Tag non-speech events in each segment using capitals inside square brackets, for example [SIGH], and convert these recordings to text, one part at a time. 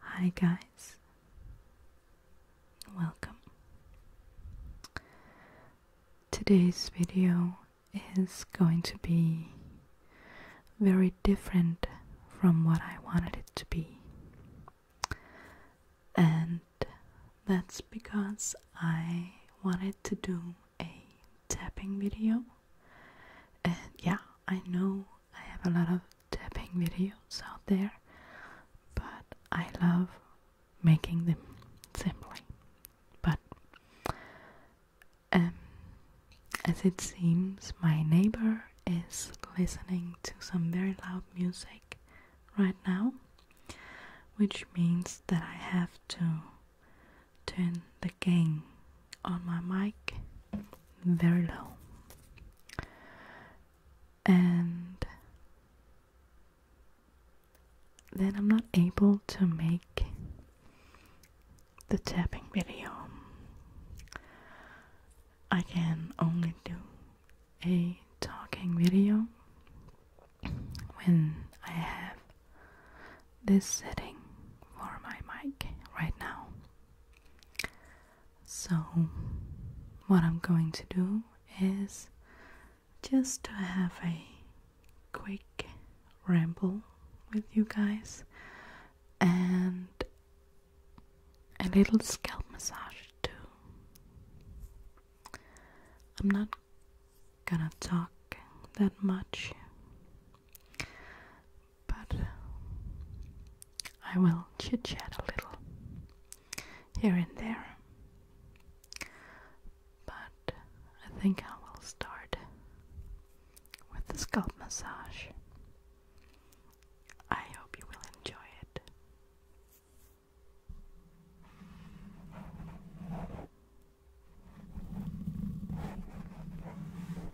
Hi, guys. Welcome. Today's video is going to be very different from what I wanted it to be. And that's because I wanted to do a tapping video. And yeah, I know I have a lot of tapping videos out there, but I love making them simply. But um, as it seems, my neighbor is listening to some very loud music right now, which means that I have to turn the gain on my mic very low and then I'm not able to make the tapping video. I can only do a talking video when I have this setting for my mic right now. So, what I'm going to do is just to have a quick ramble with you guys and a little scalp massage too. I'm not gonna talk that much, but uh, I will chit chat a little here and there. But I think I will start with the scalp massage. I hope you will enjoy it.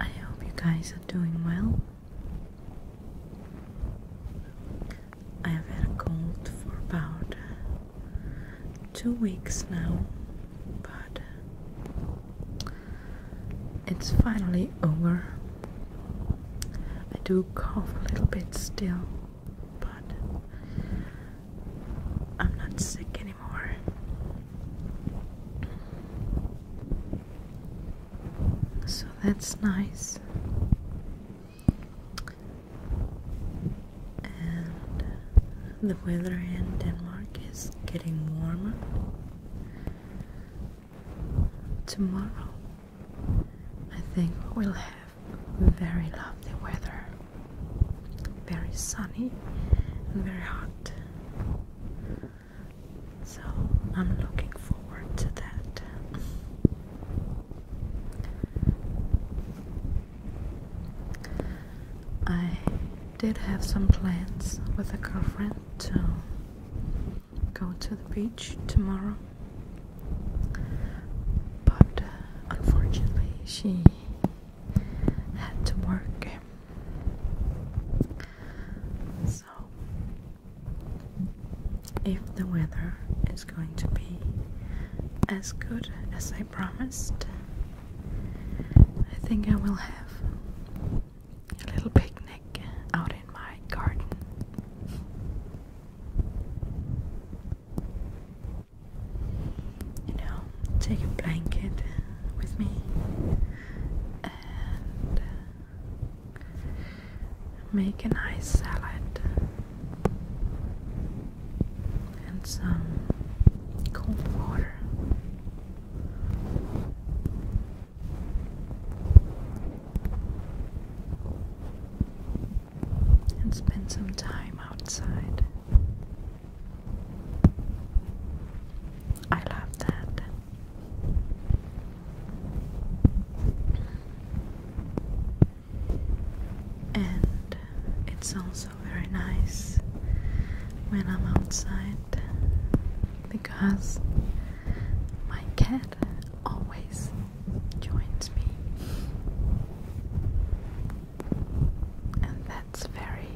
I hope you guys are doing well. I have had a cold for about two weeks now, but it's finally over. I do cough a little bit still, but I'm not sick anymore. So that's nice. And the weather in Denmark is getting warmer. Tomorrow, I think we'll have very lovely weather, very sunny and very hot. So, I'm looking forward to that. I did have some plans with a girlfriend to go to the beach tomorrow. But unfortunately, she had to work. So, if the weather is going to be as good as I promised, I think I will have a little picnic out in my garden. You know, take a blanket with me and make a nice salad and some cold water and spend some time outside. I love that. And it's also very nice when I'm outside because my cat always joins me, and that's very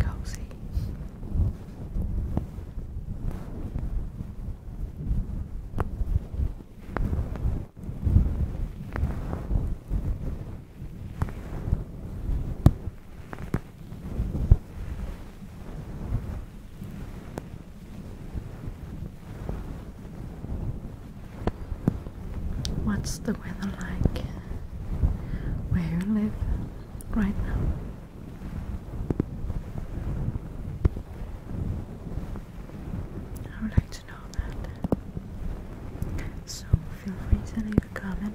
cozy. What's the weather like where you live right now? I would like to know that. So feel free to leave a comment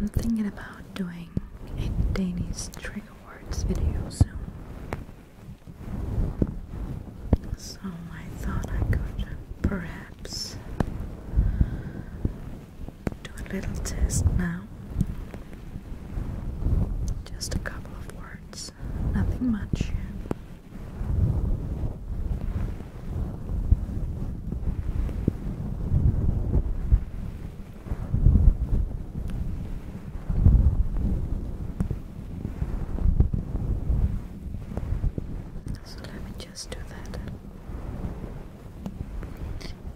I'm thinking about doing a Danish trigger words video soon. So I thought I could perhaps do a little test now. Just a couple of words, nothing much. So let me just do that.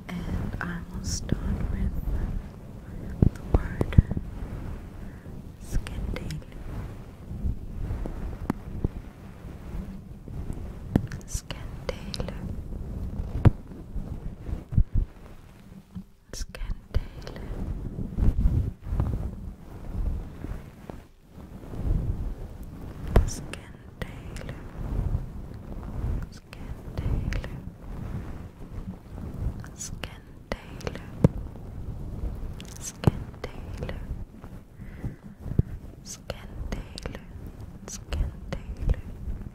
And I will start with the word scandal. Scandal. Scantale. Scantale. Scantale. Scantale. Scantale. Scantale. Scantale.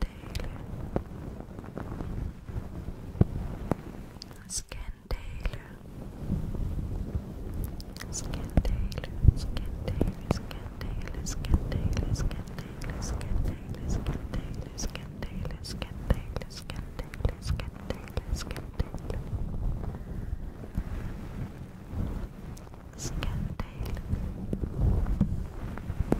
Taylor, Scan Taylor, Scan Taylor, Scan Taylor, Scan Taylor, Scan Taylor, Scan Taylor, Scan Taylor, Scan Taylor,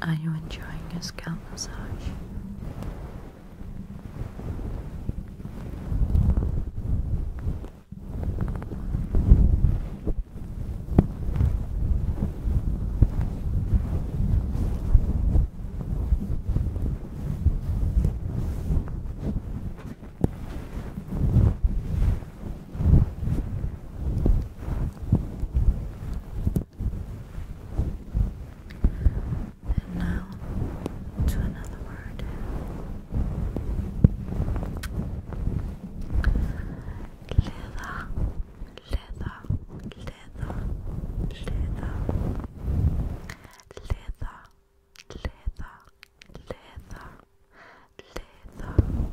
Are you enjoying your scalp massage? And now to another word. Leather, leather, leather, leather, leather, leather, leather, leather.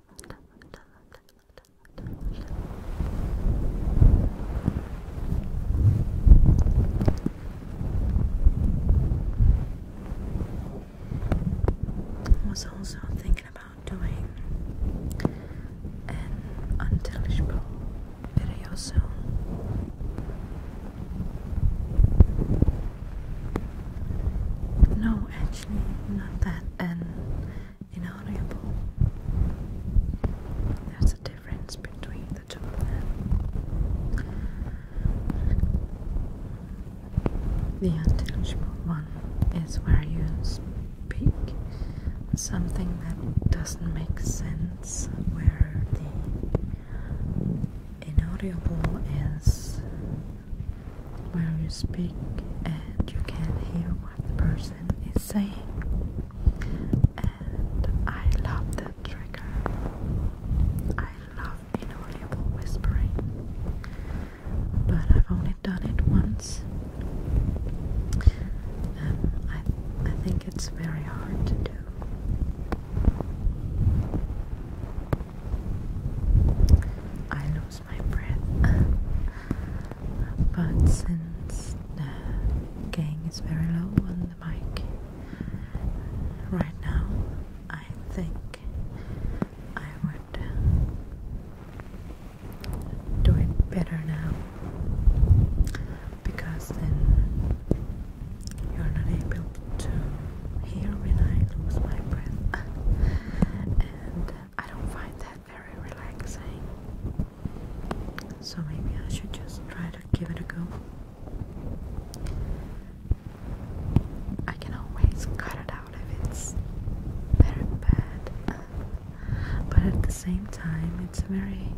I was also thinking about doing an unintelligible video soon. No actually, not that inaudible. There's a difference between the two of them. The intelligible one is where you speak something that doesn't make sense, where the inaudible is while you speak and you can hear what the person is saying. And I love that trigger. I love inaudible whispering. But I've only done it once. Um, I, I think it's very hard to do. I lose my breath. but since the gain is very low on the mic right now, I think I would do it better now because then you're not able to hear when I lose my breath [LAUGHS] I don't find that very relaxing. So maybe I should just try to give it a go. I can always cut it out if it's very bad, but at the same time, it's a very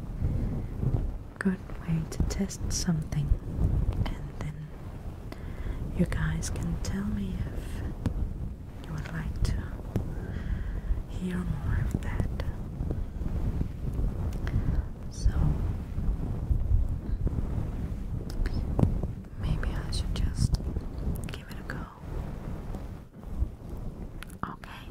good way to test something, and then you guys can tell me if you would like to hear more of that. So maybe I should just give it a go. Okay.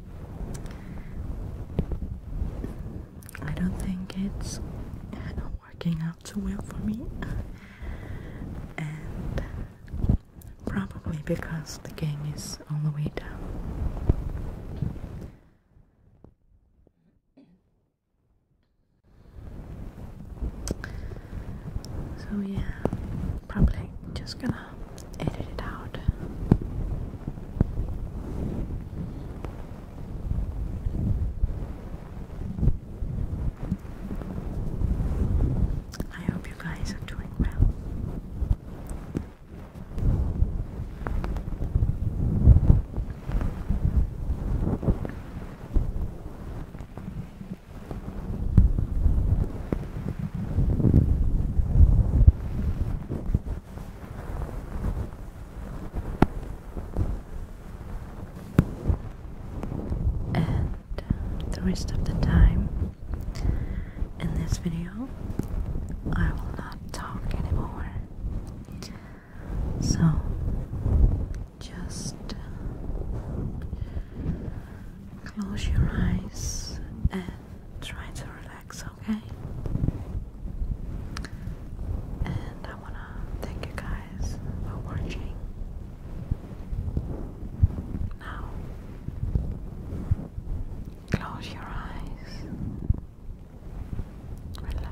I don't think it's working out too well for me, and probably because the gang is on the way down. So, yeah, probably just gonna um, edit it out. I hope you guys are doing well and the rest of the time in this video I will not talk anymore so just close your eyes and try to relax okay? And I want to thank you guys for watching. Now, close your eyes, relax.